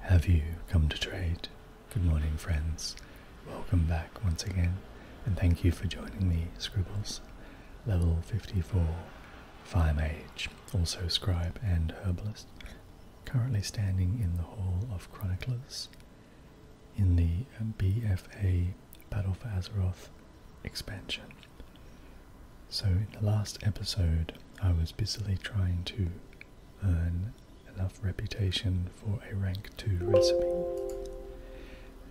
Have you come to trade? Good morning, friends. Welcome back once again, and thank you for joining me, Scribbles. Level 54, Fire also Scribe and Herbalist, currently standing in the Hall of Chroniclers in the BFA Battle for Azeroth expansion. So, in the last episode, I was busily trying to earn enough reputation for a rank 2 recipe.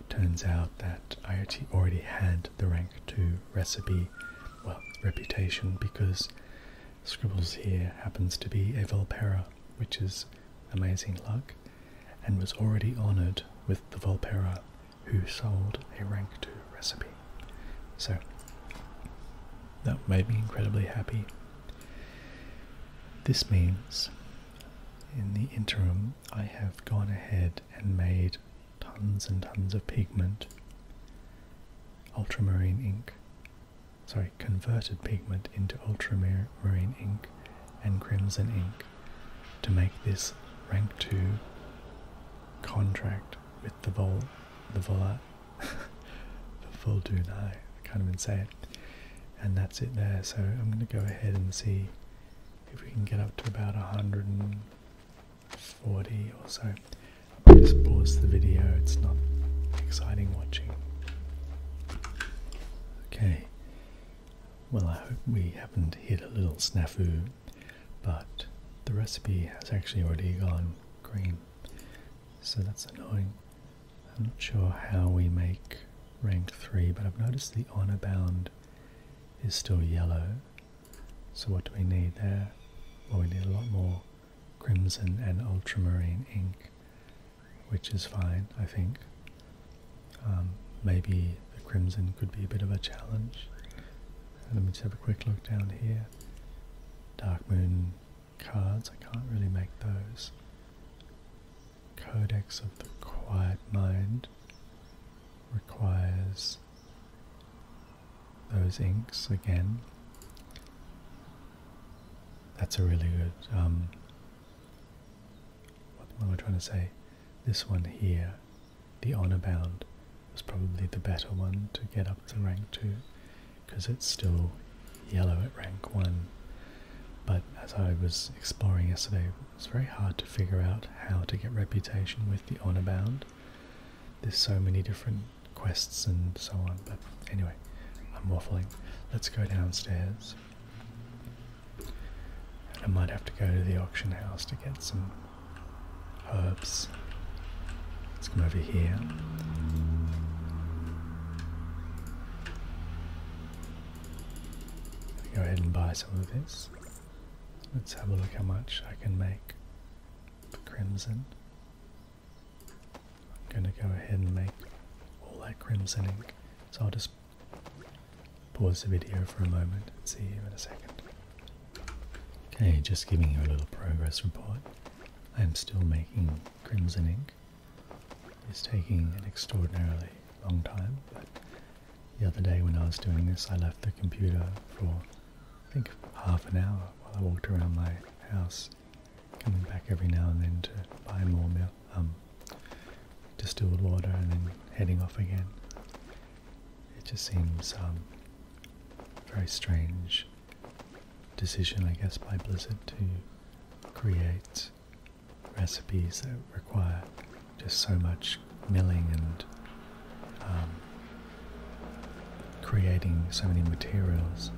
It turns out that I already had the rank 2 recipe, well, reputation, because Scribbles here happens to be a Volpera, which is amazing luck, and was already honoured with the Volpera who sold a rank 2 recipe. So, that made me incredibly happy. This means in the interim, I have gone ahead and made tons and tons of pigment, ultramarine ink, sorry, converted pigment into ultramarine ink and crimson ink to make this rank 2 contract with the vol the volat the full do I can't even say it. And that's it there. So I'm going to go ahead and see if we can get up to about 140 or so. just pause the video. It's not exciting watching. Okay. Well, I hope we haven't hit a little snafu, but the recipe has actually already gone green so that's annoying. I'm not sure how we make rank 3, but I've noticed the honor bound is still yellow. So what do we need there? Well, we need a lot more crimson and ultramarine ink, which is fine, I think. Um, maybe the crimson could be a bit of a challenge. Let me just have a quick look down here. Dark Moon cards. I can't really make those. Codex of the Quiet Mind requires those inks again. That's a really good. Um, what am I trying to say? This one here, the Honor Bound, was probably the better one to get up to rank 2 because it's still yellow at rank 1. But as I was exploring yesterday, it's very hard to figure out how to get reputation with the honor bound. There's so many different quests and so on, but anyway, I'm waffling. Let's go downstairs. I might have to go to the auction house to get some herbs Let's come over here. Go ahead and buy some of this. Let's have a look how much I can make for crimson. I'm going to go ahead and make all that crimson ink. So I'll just pause the video for a moment and see you in a second. Okay, just giving you a little progress report. I'm still making crimson ink is taking an extraordinarily long time, but the other day when I was doing this, I left the computer for, I think, half an hour while I walked around my house, coming back every now and then to buy more milk, um, distilled water, and then heading off again. It just seems um, very strange decision, I guess, by Blizzard to create recipes that require just so much milling and um, creating so many materials.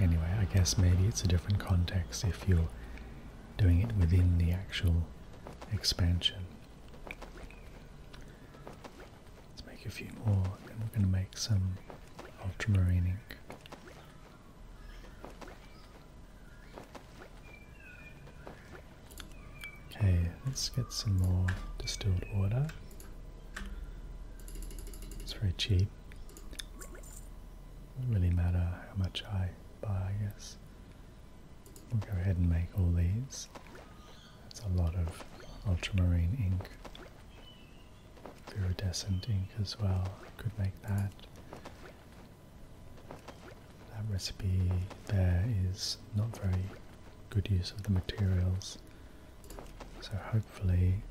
Anyway, I guess maybe it's a different context if you're doing it within the actual expansion. Let's make a few more, and then we're going to make some ultramarine ink. Okay, let's get some more distilled water. It's very cheap. Doesn't really matter how much I buy, I guess. We'll go ahead and make all these. That's a lot of ultramarine ink. Iridescent ink as well. I could make that. That recipe there is not very good use of the materials. So hopefully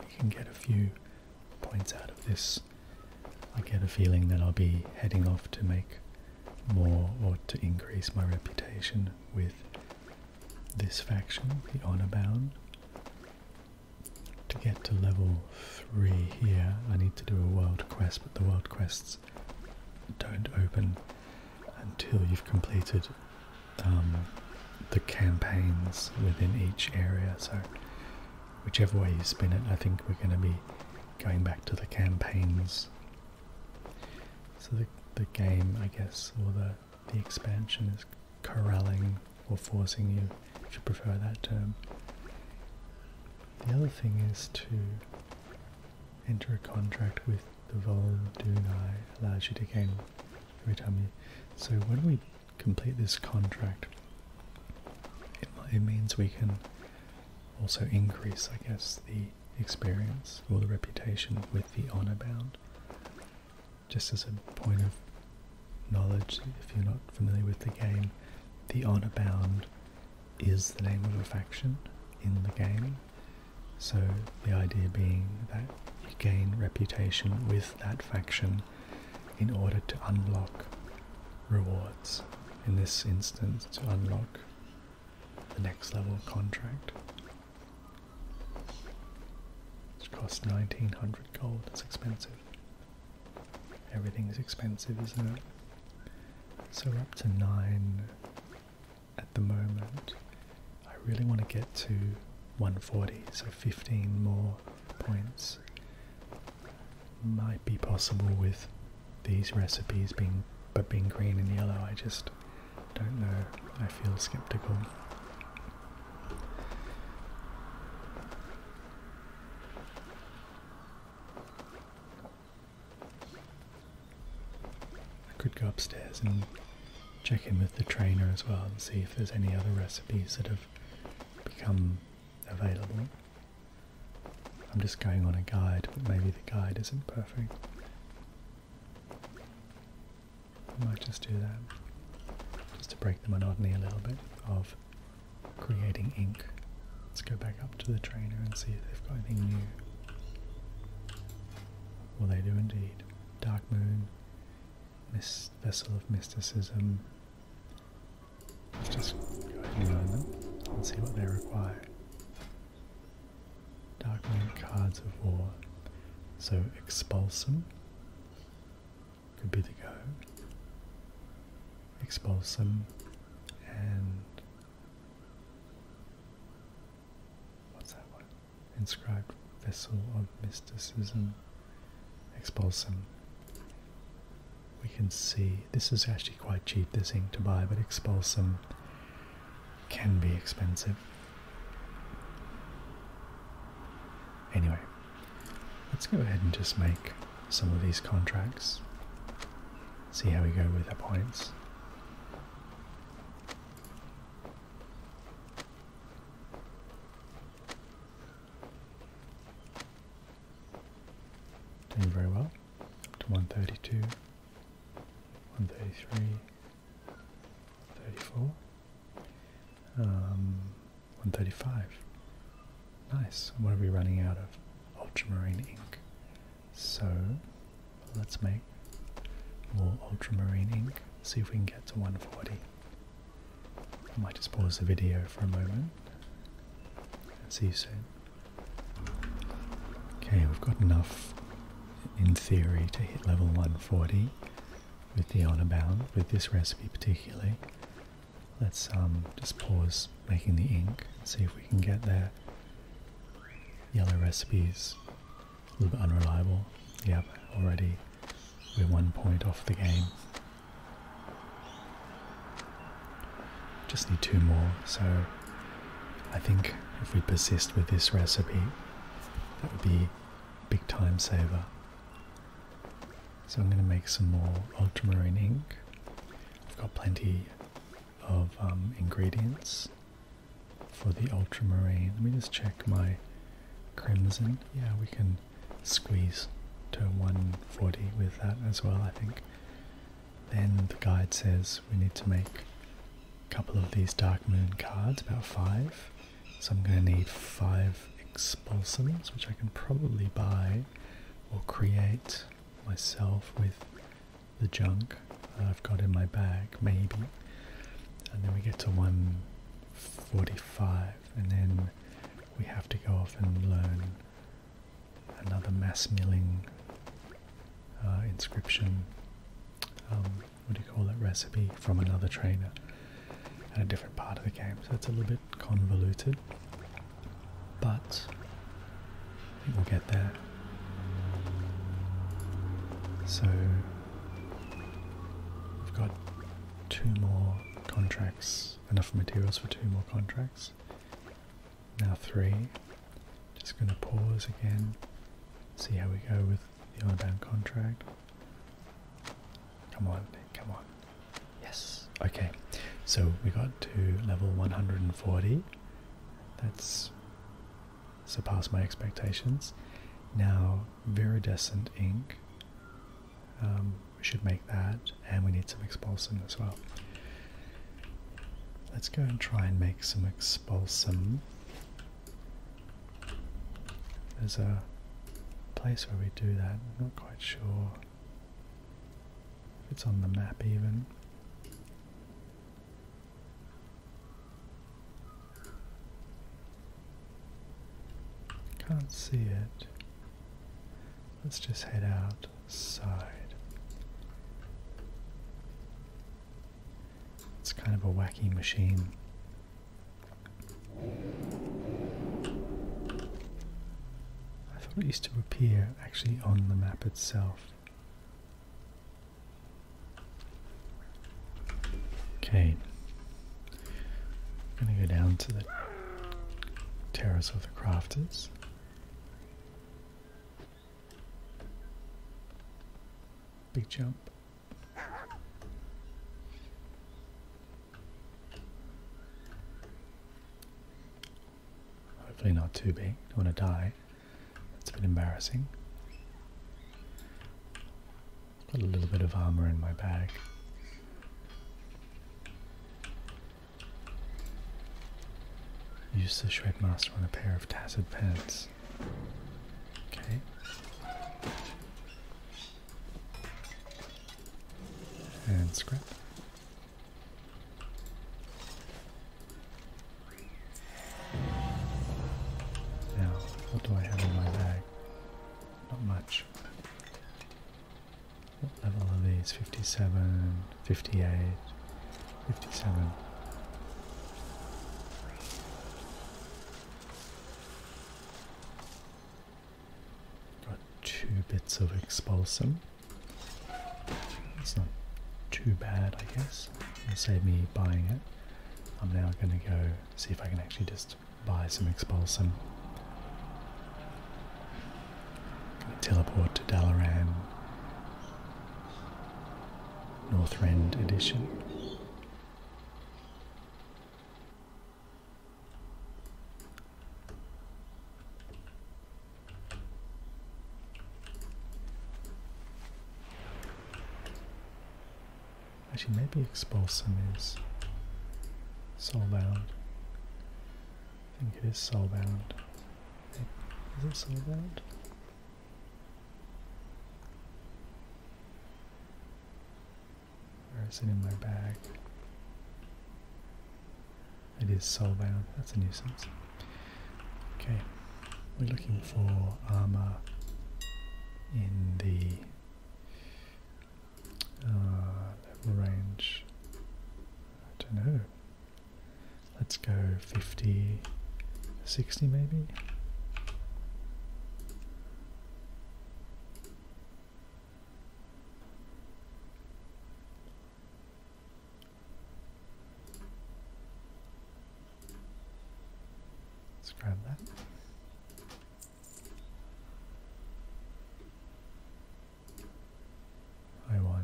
we can get a few points out of this. I get a feeling that I'll be heading off to make more or to increase my reputation with this faction, honour bound. To get to level 3 here, I need to do a world quest, but the world quests don't open until you've completed um, the campaigns within each area. So, whichever way you spin it, I think we're going to be going back to the campaigns. So, the, the game, I guess, or the the expansion is corralling or forcing you, if you prefer that term. The other thing is to enter a contract with the Vol Dunai, allows you to gain every time you. So when we complete this contract, it means we can also increase, I guess, the experience or the reputation with the honor bound. Just as a point of knowledge, if you're not familiar with the game, the honor bound is the name of a faction in the game. So the idea being that you gain reputation with that faction in order to unlock rewards. In this instance, to unlock the next level contract, It's cost 1900 gold. It's expensive. Everything's expensive, isn't it? So up to 9 at the moment. I really want to get to 140, so 15 more points might be possible with these recipes being but being green and yellow I just don't know. I feel skeptical. I could go upstairs and check in with the trainer as well and see if there's any other recipes that have become available. I'm just going on a guide, but maybe the guide isn't perfect. I might just do that, just to break the monotony a little bit of creating ink. Let's go back up to the trainer and see if they've got anything new. Well, they do indeed. Dark Moon, Vessel of Mysticism. Let's just go ahead and learn them and see what they require. Darkling Cards of War. So Expulsum could be the go. Expulsum and what's that one? Inscribed Vessel of Mysticism. Expulsum. We can see this is actually quite cheap, this ink to buy, but Expulsum can be expensive. Anyway, let's go ahead and just make some of these contracts. See how we go with our points. Doing very well. to 132, 133. 34. Um, 135. Nice. What are we running out of? Ultramarine ink. So let's make more ultramarine ink. See if we can get to 140. I might just pause the video for a moment. See you soon. Okay, we've got enough in theory to hit level 140 with the honor bound, with this recipe particularly. Let's um, just pause making the ink and see if we can get there. Yellow recipes, a little bit unreliable. Yep, already we're one point off the game. Just need two more, so I think if we persist with this recipe, that would be big time saver. So I'm going to make some more ultramarine ink. I've got plenty of um, ingredients for the ultramarine. Let me just check my crimson. Yeah, we can squeeze to 140 with that as well, I think. Then the guide says we need to make a couple of these Dark Moon cards, about five. So I'm going to need five expulsums, which I can probably buy or create myself with the junk I've got in my bag, maybe. And then we get to 145, and then we have to go off and learn another mass milling uh, inscription. Um, what do you call that recipe from another trainer at a different part of the game. So it's a little bit convoluted, but we'll get there. So we've got two more contracts, enough materials for two more contracts. Now three. Just going to pause again, see how we go with the Iban contract. Come on, come on. Yes. Okay. So we got to level 140. That's surpassed my expectations. Now, Viridescent Ink. Um, we should make that, and we need some expulsum as well. Let's go and try and make some expulsum there's a place where we do that, I'm not quite sure if it's on the map even. Can't see it. Let's just head outside. It's kind of a wacky machine. I thought it used to appear actually on the map itself. Okay, I'm going to go down to the terrace of the crafters. Big jump. Hopefully not too big. Don't want to die. That's a bit embarrassing. Got a little bit of armor in my bag. Use the Shredmaster on a pair of tattered pants. Okay. And scrap. Now, what do I have in my bag? Not much. What level are these? 57, 58, 57. Got two bits of expulsum. It's not too bad, I guess. It'll me buying it. I'm now going to go see if I can actually just buy some expulsum. teleport to Dalaran, Northrend edition. Actually, maybe expose some is soulbound. I think it is soulbound. Is it soulbound? Or is it in my bag? It is soulbound. That's a nuisance. Okay. We're looking for armor in the uh, range. I don't know. Let's go 50, 60 maybe. Let's grab that. I want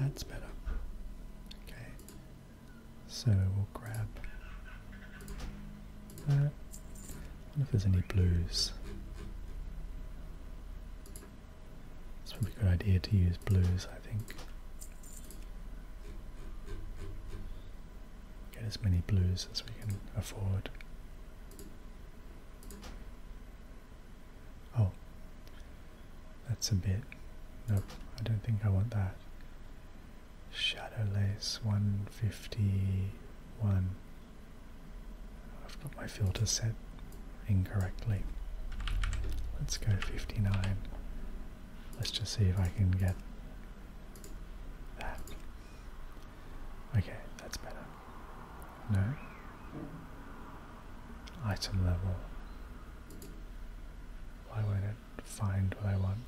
that's better. Okay. So we'll grab that. I wonder if there's any blues. It's probably a good idea to use blues, I think. Get as many blues as we can afford. Oh, that's a bit. No, I don't think I want that. Shadow Lace 151. I've got my filter set incorrectly. Let's go 59. Let's just see if I can get that. Okay, that's better. No, item level. Why won't it find what I want?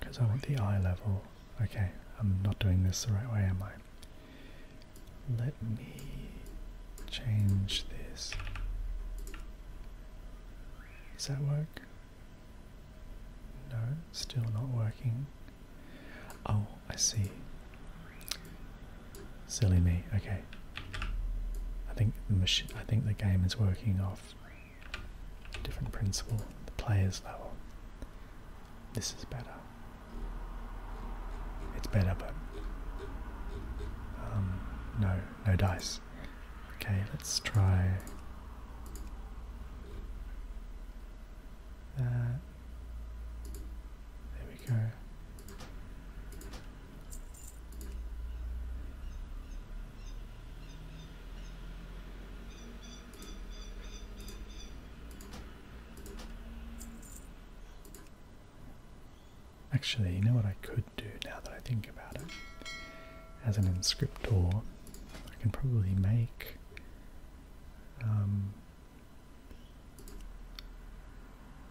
Because I want the eye level. Okay, I'm not doing this the right way, am I? Let me change this. Does that work? No, still not working. Oh, I see. Silly me. Okay. I think the machine. I think the game is working off a different principle. The player's level. This is better. It's better, but um, no, no dice. Okay, let's try. There we go. Actually, you know what I could do now that I think about it? As an inscriptor, I can probably make um,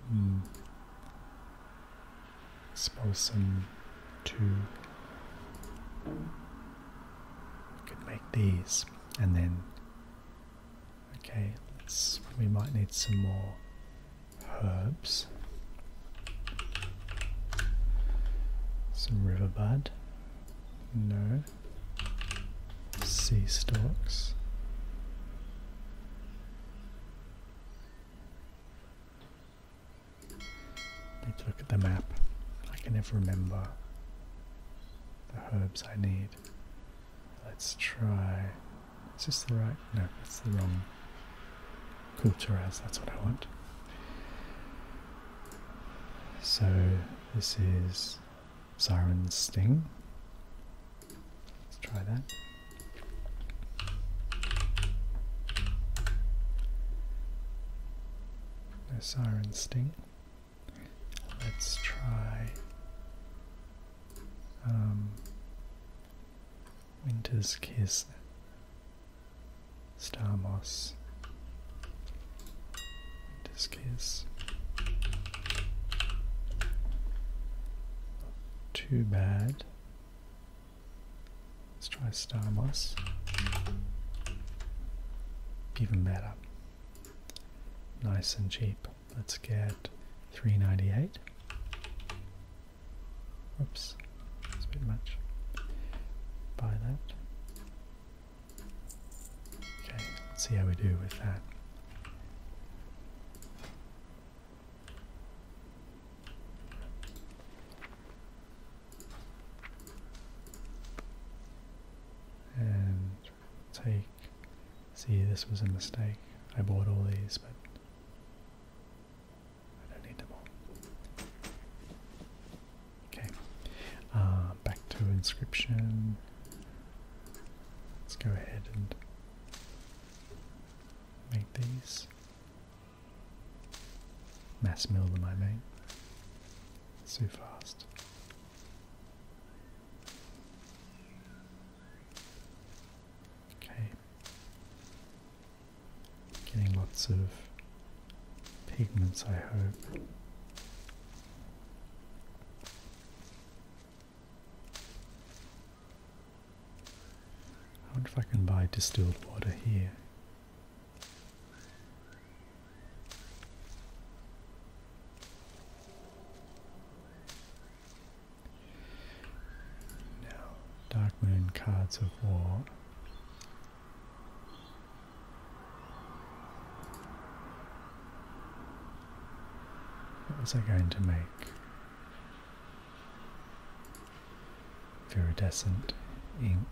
Hmm. This person two. Could make these, and then. Okay, let's. We might need some more herbs. Some riverbud. No sea stocks. Need to look at the map. I can never remember the herbs I need. Let's try. Is this the right? No, that's the wrong. Culturas, that's what I want. So this is Siren Sting. Let's try that. No Siren Sting. Let's try um, Winter's Kiss, Star Moss, in this case. too bad. Let's try Star Moss. Even better. Nice and cheap. Let's get 398. Oops, it's a bit much. Buy that. Okay, let's see how we do with that. And take. See, this was a mistake. I bought all these, but I don't need them all. Okay, uh, back to inscription. Let's go ahead and make these. Mass mill them, I mean. so fast. Okay. Getting lots of pigments, I hope. I wonder if I can buy distilled water here. Now, Dark Moon Cards of War. What was I going to make? Iridescent ink.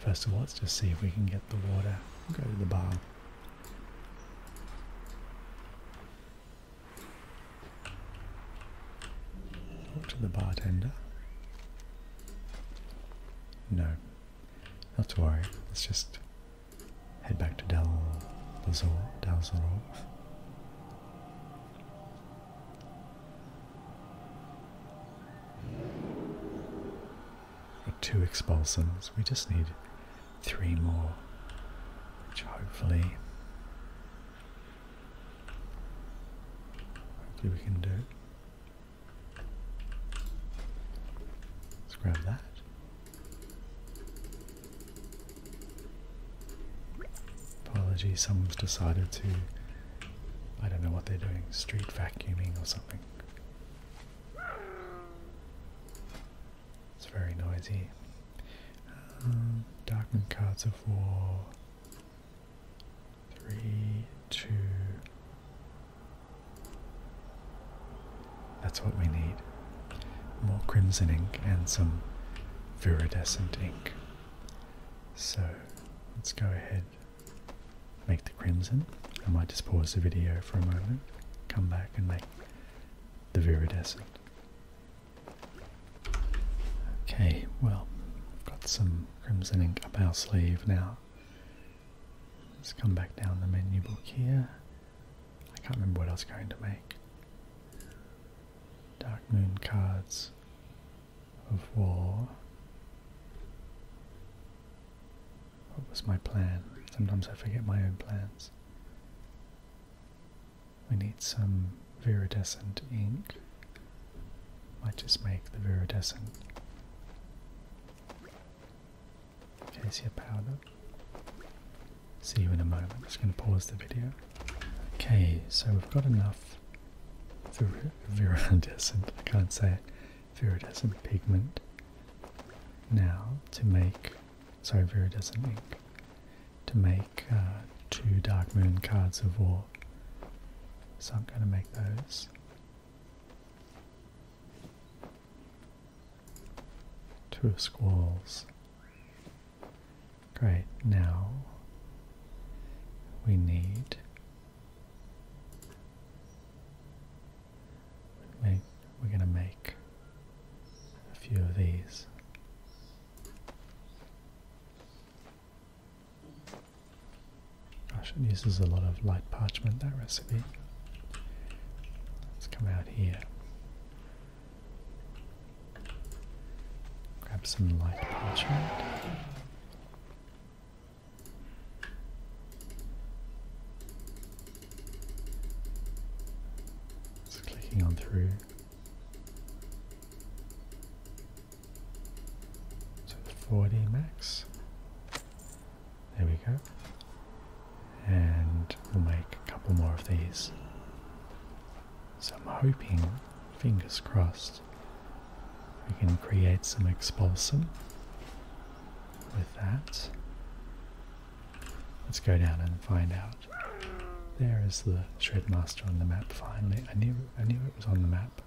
First of all, let's just see if we can get the water. we go to the bar. Talk to the bartender. No, not to worry. Let's just head back to Del Lazor. Del Zoror. two expulsions. We just need three more, which hopefully, hopefully we can do. Let's grab that. Apologies, someone's decided to, I don't know what they're doing, street vacuuming or something. It's very noisy. Um, darkened cards of war. Three, two. That's what we need. More crimson ink and some viridescent ink. So let's go ahead, make the crimson. I might just pause the video for a moment, come back and make the viridescent. Okay, well, I've got some crimson ink up our sleeve now. Let's come back down the menu book here. I can't remember what I was going to make. Dark Moon Cards of War. What was my plan? Sometimes I forget my own plans. We need some viridescent ink. Might just make the viridescent. Acacia powder. See you in a moment. I'm just going to pause the video. Okay, so we've got enough viridescent, I can't say it, viridescent pigment now to make, sorry, viridescent ink, to make uh, two Dark Moon cards of war. So I'm going to make those. Two of Squalls. Great, now we need we're going to make a few of these. Gosh, it uses a lot of light parchment, that recipe. Let's come out here. Grab some light parchment. Just clicking on through. So 40 max. There we go. And we'll make a couple more of these. So I'm hoping, fingers crossed, we can create some expulsum with that. Let's go down and find out. There is the Shredmaster on the map finally. I knew I knew it was on the map.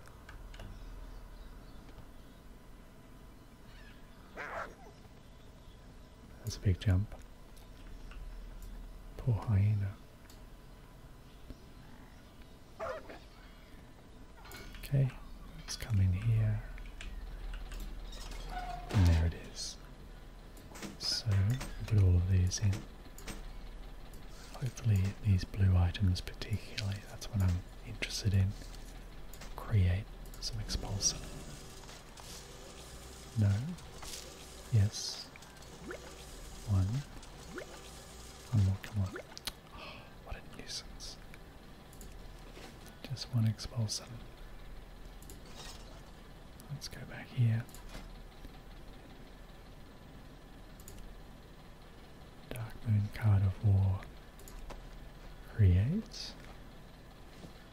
That's a big jump. Poor hyena. Okay, it's coming here. And there it is. So, put all of these in. Hopefully these blue items particularly, that's what I'm interested in create some expulsor. No. Yes. One. One more, come on. what a nuisance. Just one expulsor. Let's go back here. Dark Moon card of war creates.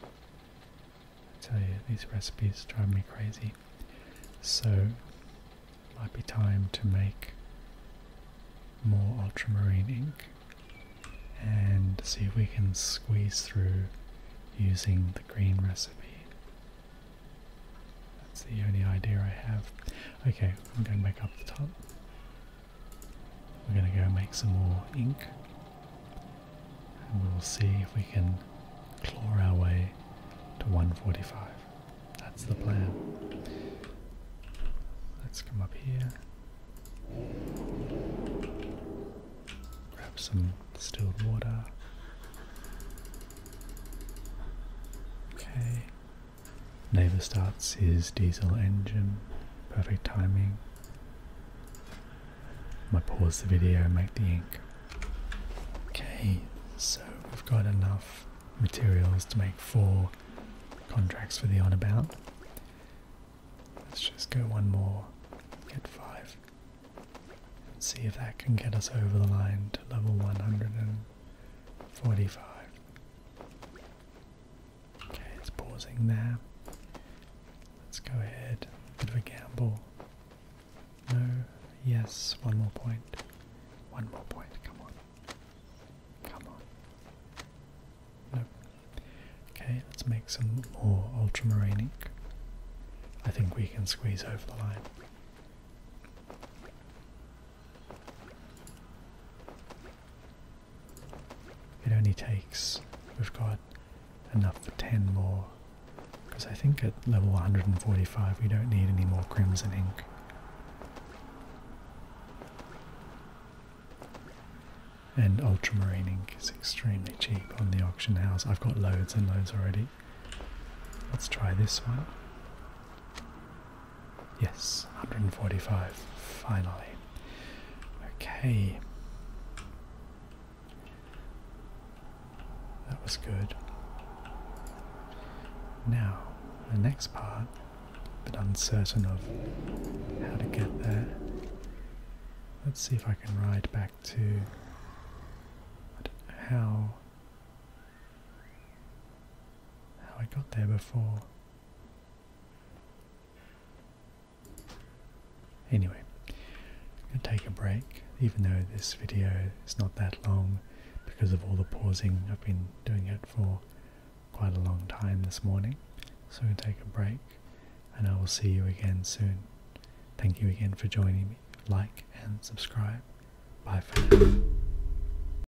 I tell you, these recipes drive me crazy. So, might be time to make more ultramarine ink and see if we can squeeze through using the green recipe. That's the only idea I have. Okay, I'm going back up the top. We're going to go make some more ink. And we'll see if we can claw our way to 145. That's the plan. Let's come up here. Grab some distilled water. Okay. Neighbor starts his diesel engine. Perfect timing. I pause the video, make the ink. Okay, so we've got enough materials to make four contracts for the on about. Let's just go one more, get five. see if that can get us over the line to level 145. Okay, it's pausing there. Let's go ahead. Bit of a gamble. No, yes, one more point. One more point, come on. Come on. Nope. Okay, let's make some more ultramarine ink. I think we can squeeze over the line. It only takes, we've got enough for 10 more, because I think at level 145 we don't need any more crimson ink. And ultramarine ink is extremely cheap on the auction house. I've got loads and loads already. Let's try this one. Yes, 145, finally. Okay. That was good. Now, the next part, but uncertain of how to get there. Let's see if I can ride back to how how I got there before. Anyway, I'm going to take a break, even though this video is not that long because of all the pausing. I've been doing it for quite a long time this morning. So I'm going to take a break and I will see you again soon. Thank you again for joining me. Like and subscribe. Bye for now.